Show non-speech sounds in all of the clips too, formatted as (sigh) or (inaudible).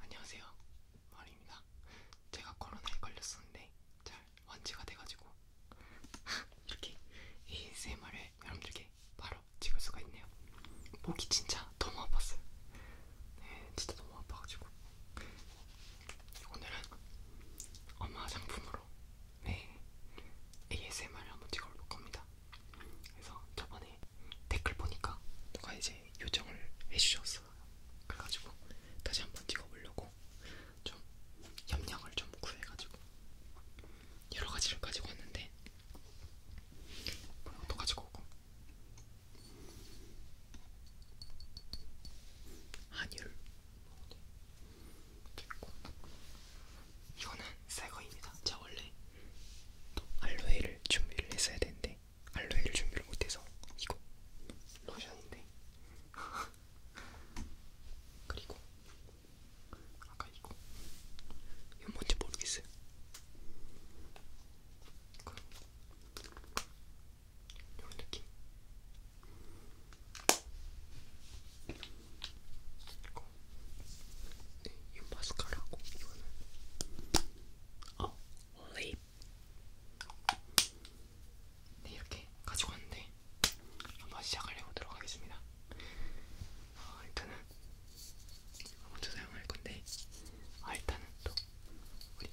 안녕하세요. 마리입니다. 제가 코로나에 걸렸었는데 잘 완치가 돼가지고 (laughs) 이렇게 ASMR을 여러분들께 바로 찍을 수가 있네요. 목이 진짜 너무 아팠어요. 네, 진짜 너무 아파가지고 오늘은 엄마 상품으로 네 ASMR을 한번 찍어볼 겁니다. 그래서 저번에 댓글 보니까 누가 이제 요청을 해주셨어요. 그래가지고 다시 한번 찍어보려고 좀 염량을 좀 구해가지고 여러 가지를 가지고 왔는데 이것도 가지고 오고 한율 됐고 이거는 새거입니다. 제가 원래 또 알로에를 준비를 했어야 되는데 알로에를 준비를 못해서 이거 로션인데 (laughs) 그리고 아까 이거 이건 뭔지 모르겠어요. 이런 느낌. 이거, 네, 이 마스카라고 이거는 어 아, 립. 네 이렇게 가지고 왔는데 한번 시작을 해보도록 하겠습니다. 어, 아, 일단은 먼저 사용할 건데, 아 일단은 또 우리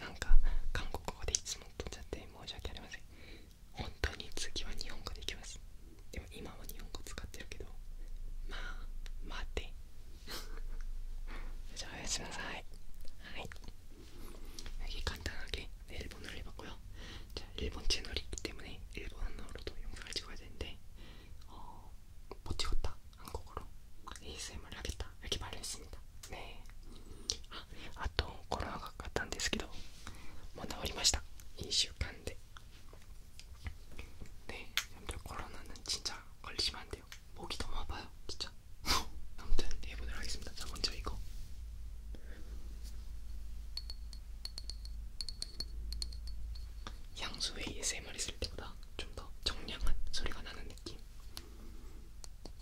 なんか韓国語でいつも取っちゃって申し訳ありません本当に次は日本語でいきますでも今は日本語使ってるけどまあ待て (laughs) じゃあおやすみなさいはい次簡単なけ일본어를해봤고요자일본채널이있기때문에일본어로도영상을찍어야되는데어못찍었다한국어로 ASMR 을하겠다이렇게말했습니다 ねあ,あとコロナがかかったんですけどもう治りました1週間でねえ들コロナ는진짜걸리시면안돼요목이너무아파요진짜아무튼해보도록하겠습니다자먼저이거 아, 뭐 (laughs) 향수 ASMR 했을 때보다 좀 더 정량한 소리가 나는 느낌.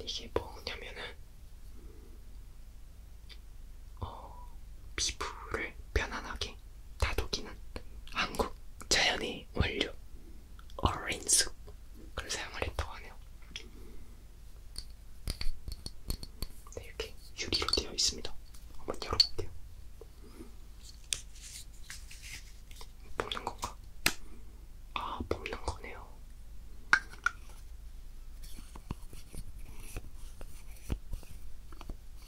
이게 뭐냐면은 어, 피부를 편안하게 다독이는 한국 자연의 원료 어린쑥 그걸 사용을 했다고 하네요. 네, 이렇게 유리로 되어 있습니다. 한번 열어볼게요. 뽑는 건가? 아, 뽑는 거네요.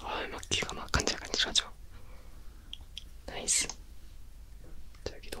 아, 막 귀가 막 간질간질하죠. 나이스. 자, 여기도.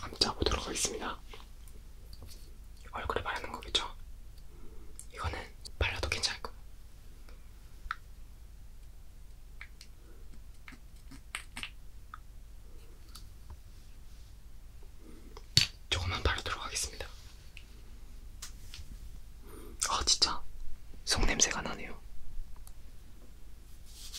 한번 짜보도록 하겠습니다. 얼굴에 바르는 거겠죠? 이거는 발라도 괜찮을 거예요. 조금만 바르도록 하겠습니다. 아 진짜 속 냄새가 나네요.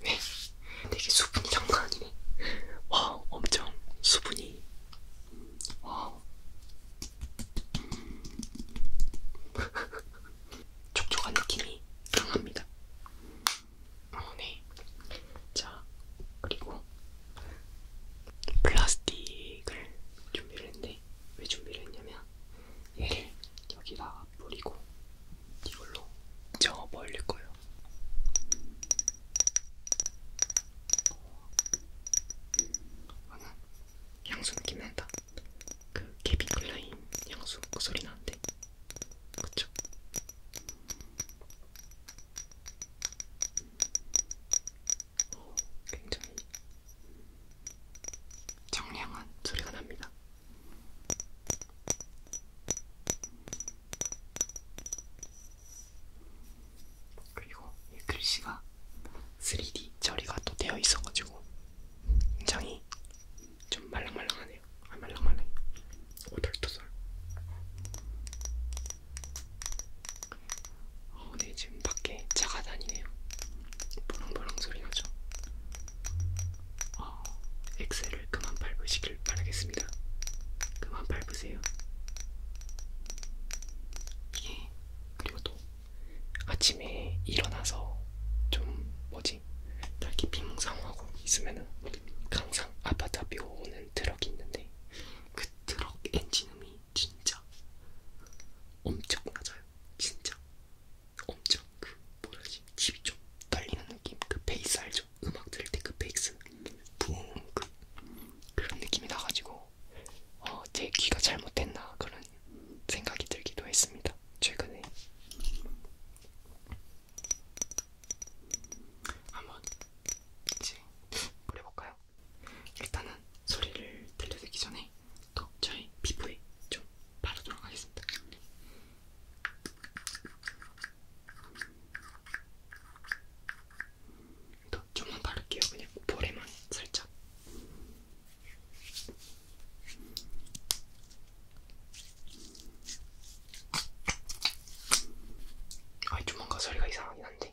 네. 되게 수분이 장난 아니네. 와, 엄청 수분이. 와. (laughs) 촉촉한 느낌이 강합니다. 어, 네. 자, 그리고 플라스틱을 준비를 했는데 왜 준비를 했냐면 얘를 여기다 뿌리고 이걸로 저어 버릴 거예요. 나는 어, 아, 향수 느낌 난다. 그 케빈 클라인 향수 그 소리 나는데, 그쵸? 오, 어, 굉장히 정량한 소리가 납니다. 그리고 이 글씨가 3D 처리가 또 되어 있어가지고 굉장히 좀 말랑말랑하네요. 아 말랑말랑해. 오돌토돌. 어, 네 지금 밖에 차가 다니네요. 보렁보렁 소리 나죠. 어, 엑셀을 그만 밟으시길 바라겠습니다. 그만 밟으세요. 예. 그리고 또 아침에 일어나서 좀 뭐지? 날기 빙상하고 있으면은 항상 아파트 앞에 오는 트럭이 있는데 그 트럭 엔진음이 진짜 엄청 낮아요. 진짜 엄청 그 뭐라지 집이 좀 떨리는 느낌 그 베이스 알죠? 음악 들을 때 그 베이스 붕그 그런 느낌이 나가지고 어, 제 귀가 잘못됐나 그런 생각이 들기도 했습니다 최근에 한번 이제 해볼까요? 일단은 소리를 들려드리기 전에 또 저의 피부에 좀 바르도록 하겠습니다. 더 좀만 바를게요. 그냥 볼에만 살짝. 아이 좀 뭔가 소리가 이상하긴 한데.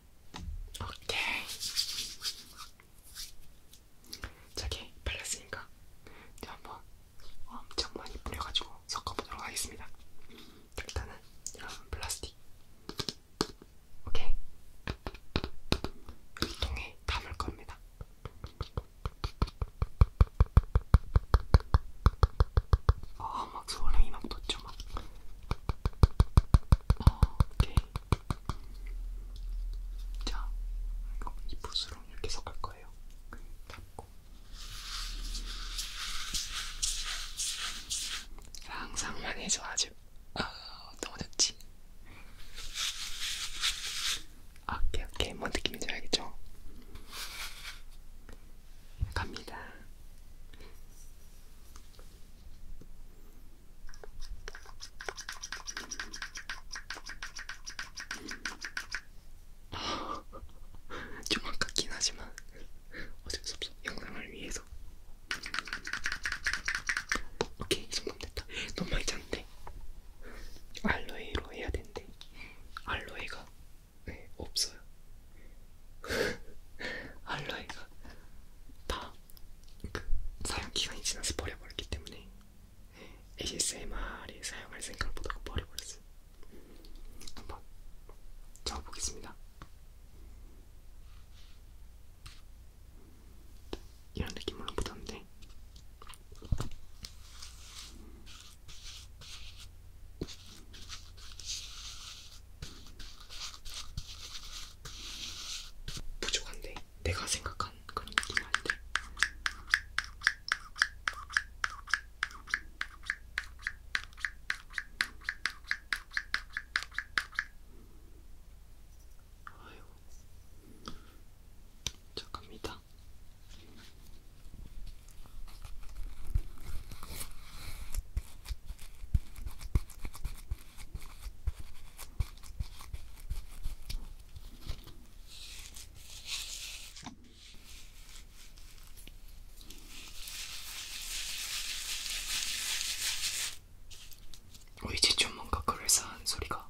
오케이. 저기 발랐으니까 제가 한번 엄청 많이 뿌려가지고 섞어보도록 하겠습니다. 일단은 여러분 플라스틱. 오케이. 일통에 담을 겁니다. 아, 막 소름이 막 돋죠, 막. 오케이. 자, 이거 이 붓으로 이렇게 섞을 거예요. 잡고. 상상만 해서 아주 아, 너무 좋지. 아, 오케이, 오케이. 뭔 뭐 느낌인지 알겠죠? 갑니다. (laughs) 좀 아깝긴 하지만 어쩔 수 없어 영상을 위해서 오케이 이 정도면 됐다 너무 많이 잤는데 알로에로 해야 되는데 알로에가 네, 없어요 (laughs) 알로에가 다그 사용 기간이 지나서 버려버렸기 때문에 ASMR에 사용할 생각을 못하고 버려버렸어요. 한번 적어보겠습니다. 이런 느낌으로 묻었는데 부족한데 내가 생각한 그런 느낌이 아닌데 아이고 잠깐입니다 뭐 이제 좀 뭔가 그럴싸한 소리가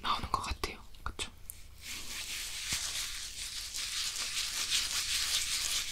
나오는 것 같아요. 그쵸?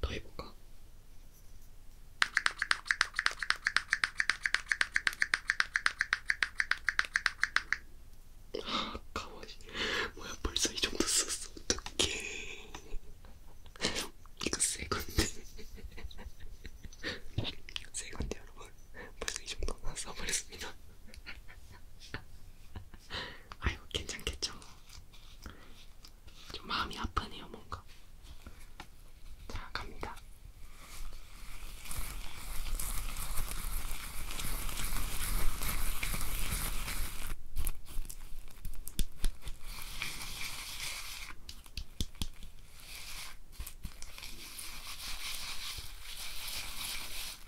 더 해볼까? 아, 가만히. 뭐야, 벌써 이 정도 썼어. 어떡해. 이거 새 건데. 새 건데, 여러분. 벌써 이 정도 써버렸습니다. 아이고 괜찮겠죠. 좀 마음이 아프네요 뭔가. 자 갑니다.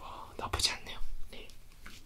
와, 나쁘지 않네요. 네.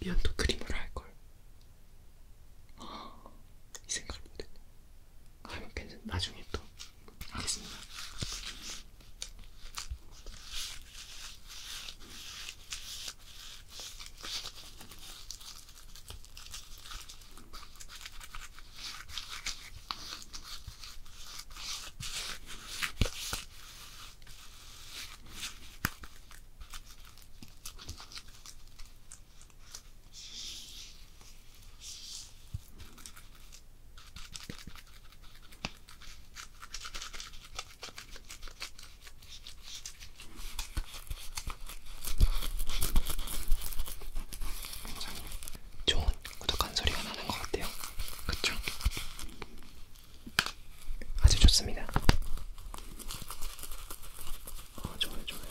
면도 크림으로 할걸. 이 생각을 못했네. 아, 괜찮. 나중에 또 하겠습니다. 좋은 꾸덕한 소리가 나는 것 같아요. 그쵸? 아주 좋습니다. 어, 좋아요, 좋아요.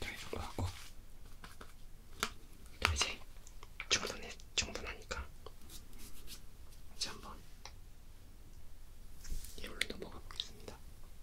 자, 이걸로 하고 이제 충분해, 충분하니까 이제 한번 이걸로 넘어가 보겠습니다.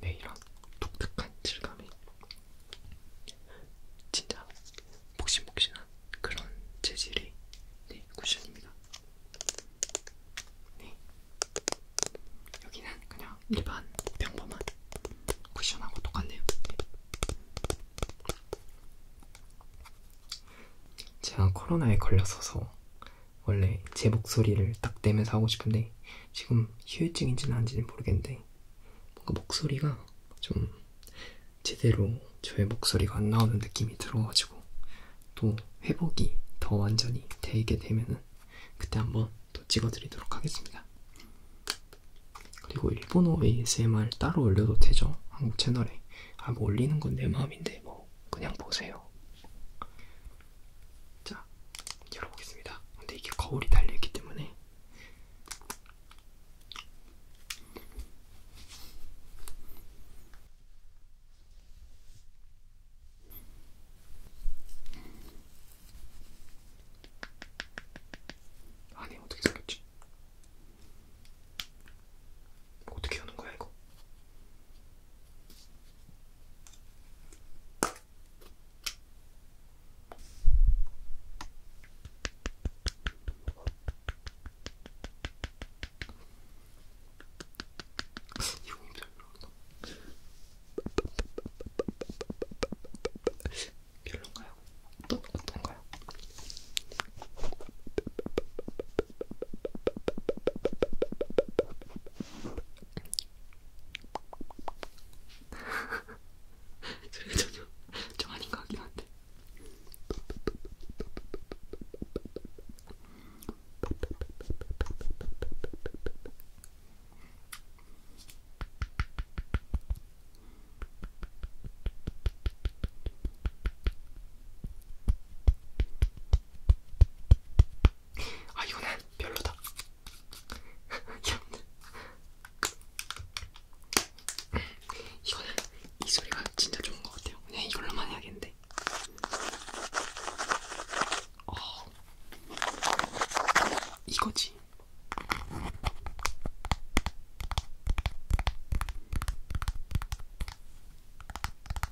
네, 이런 독특한 질감이 진짜 복신복신한 그런 재질이 네, 쿠션입니다. 네. 여기는 그냥 일반 평범한 쿠션하고 똑같네요. 네. 제가 코로나에 걸렸어서 원래 제 목소리를 딱 내면서 하고 싶은데 지금 휴유증인지는 아닌지는 모르겠는데 뭔가 목소리가 좀 제대로 저의 목소리가 안 나오는 느낌이 들어가지고 또 회복이 더 완전히 되게 되면은 그때 한번 또 찍어드리도록 하겠습니다. 그리고 일본어 ASMR 따로 올려도 되죠? 한국 채널에. 아, 뭐 올리는 건 내 마음인데 뭐 말고 그냥 보세요. 자, 열어보겠습니다. 근데 이게 거울이 달려있기 때문에 안에 어떻게 생겼지? 어떻게 하는 거야 이거? 이용이 별로 없어. 별론가요? 어떤, 어떤가요? 저게 전혀 좀 아닌 것 같긴 한데 아 이거는 별로다. (laughs) 이거는 이 소리가 진짜 좋은 것 같아요. 그냥 이걸로만 해야겠는데. 어, 이거지.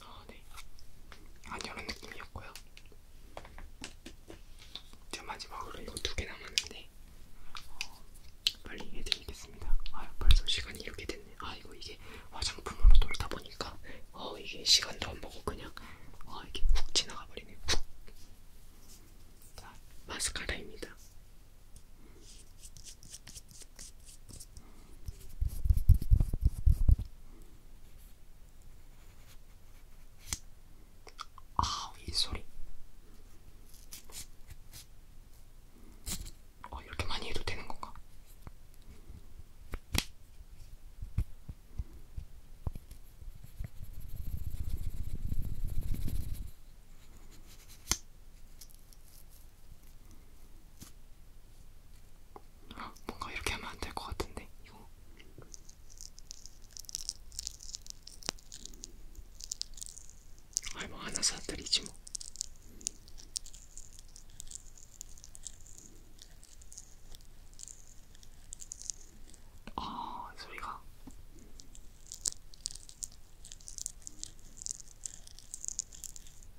아, 네. 안 이런 느낌이었고요. 이제 마지막으로 이거 두 개 남았는데 어, 빨리 해드리겠습니다. 아 벌써 시간이 이렇게 됐네. 아 이거 이게 화장품으로 돌다 보니까. 보니까 어 이게 시간도 안 보고 그냥 어 이게 훅 지나가 버리네. 훅. 자, 마스카라입니다. 아우 이 소리. 어 이렇게 많이 해도 되는 건가? 뭔가 이렇게 하면 안 될 것 같은데 이거 아이 뭐 하나 사드리지 뭐 아, 소리가.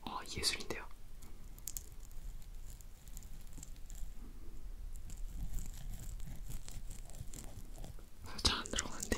아, 예술인데요. 잘 안 들어가는데.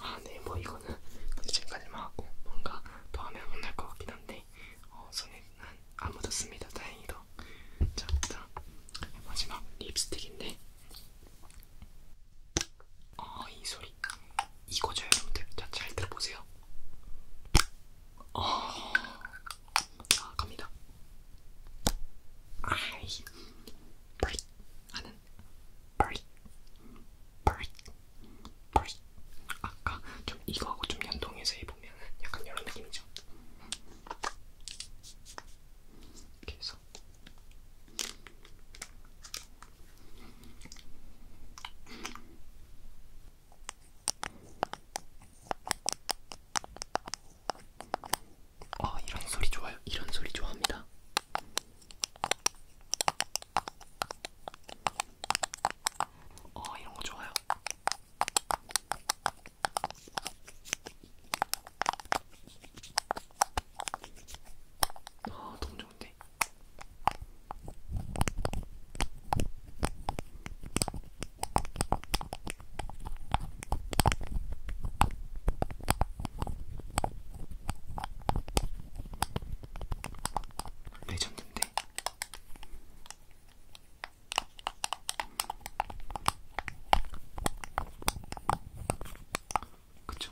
아, 네, 뭐 이거는 지금까지만 하고 뭔가 더 하면 혼날 것 같긴 한데 어, 손에는 안 묻었습니다. 다행히도. 좋습니다. 자, 자 마지막 립스틱인데 아 이 소리 이거죠 여러분들. 자, 잘 들어보세요. 아, 자 갑니다. 아이 브릿 하는 브릿 브릿 브릿 아까 좀 이거하고 좀 연동해서 해보. 보면은 약간 이런 느낌이죠. 이렇게 해서 아, 이런 소리 좋아요. 이런 소리 좋아합니다. 아, 이런 거 좋아요. 아, 너무 좋은데? 레전드인데 그쵸?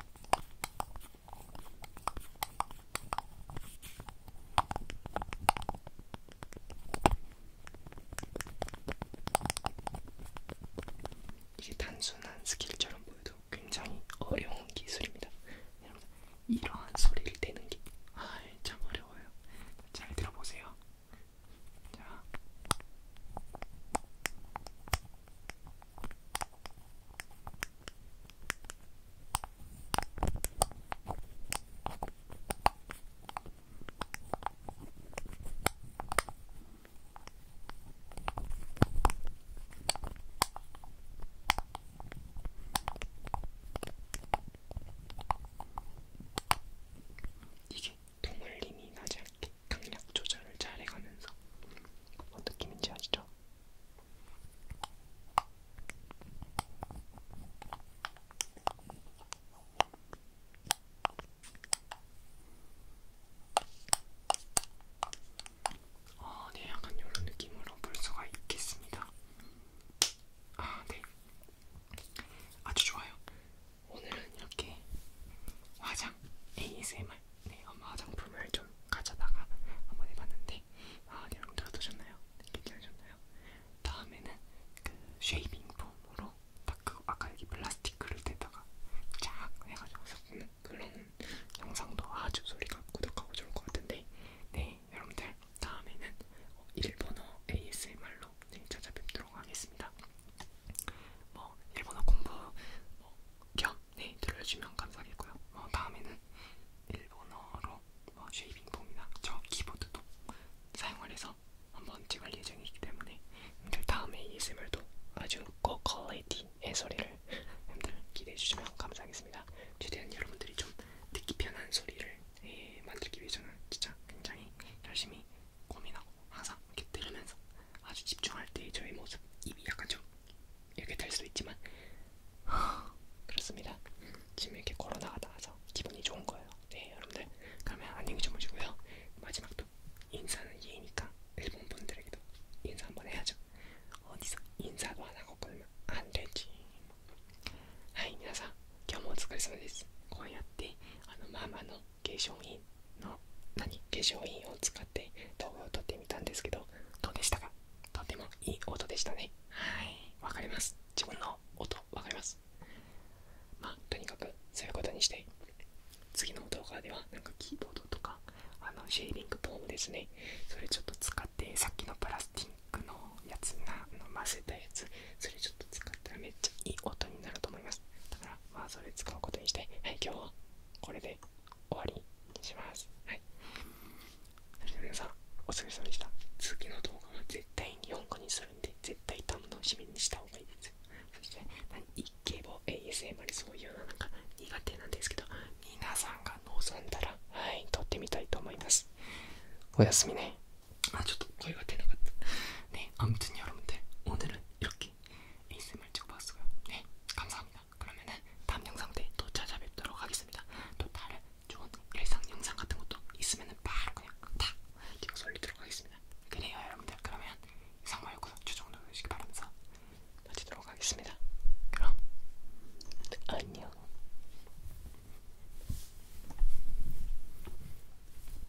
이게 단순한 스킬처럼 보여도 굉장히 어려운 기술입니다. 이러한 소리를 내는 게 아, 참 어려워요. 잘 들어보세요. 자. 이게 통물림이 나지 않게 강약 조절을 잘 해가면서 어떤 느낌인지 아시죠? 아, 네, 약간 이런 느낌으로 볼 수가 있겠습니다. 아, 네. 아주 좋아요. 오늘은 이렇게 화장 ASMR 네, 엄마 화장품을 좀 가져다가 한번 해봤는데 아, 내용 들어두셨나요? 괜찮으셨나요? 네, 다음에는 그 쉐이빙 폼으로 딱그 아까 여기 플라스틱을 대다가 쫙 해가지고 섞는 그런 영상도 아주 소리가 구독하고 좋을 것 같은데 네 여러분들 다음에는 어, 일본어 ASMR로 네, 찾아뵙도록 하겠습니다. 뭐 일본어 공부 뭐, 겸 네, 들어주면 감사하겠고요. 뭐 다음에는 일본어로 뭐 어, 쉐이빙폼이나 저 키보드도 사용을 해서 한번 찍을 예정이기 때문에 여러분들 다음에 ASMR도 아주 고퀄리티의 소리를 (laughs) 여러분들 기대해 주시면 감사하겠습니다. 최대한 여러분들이 좀 듣기 편한 소리를 예, 만들기 위해 저는 진짜 굉장히 열심히 고민하고 항상 이렇게 들으면서 아주 집중할 때 저의 모습 입이 약간 좀 이렇게 될 수도 있지만 그렇습니다. 지금 이렇게 코로나가 나와서 기분이 좋은 거예요. 네 여러분들 그러면 안녕히 주무시고요. 마지막도 인사는 예의니까 일본 분들에게도 인사 한번 해야죠. 어디서 인사도 안 하고 그러면 안 되지. はい皆さん今日もお疲れ様です。こうやってあのママの化粧品の何化粧品を使って動画を撮ってみたんですけどどうでしたかとてもいい音でしたねはいわかります自分の音わかりますまあとにかくそういうことにして次の動画ではなんかキーボードとかあのシェービングフームですねそれちょっと使ってさっきのプラスティックのやつなの混ぜたやつそれちょっと使ったらめっちゃいい音になると思いますだからまあそれ使うことにして、はい、今日はこれで終わりにします。はい。皆さん、お疲れ様でした。次の動画は絶対に本語にするんで、絶対楽しみにした方がいいです。そして、一景棒 ASMR そういうのなんか苦手なんですけど、皆さんが望んだら、はい、撮ってみたいと思います。おやすみね。아 저도 거의 같아 나갔다 네 아무튼 여러분들 오늘은 이렇게 ASMR 찍어봤어요 네 감사합니다 그러면은 다음 영상 때 또 찾아뵙도록 하겠습니다 또 다른 좋은 일상 영상 같은 것도 있으면은 바로 그냥 다 찍어서 올리도록 하겠습니다 그래요 여러분들 그러면 이상말 구독 추천 눌러주시기 바라면서 마치도록 하겠습니다 그럼 안녕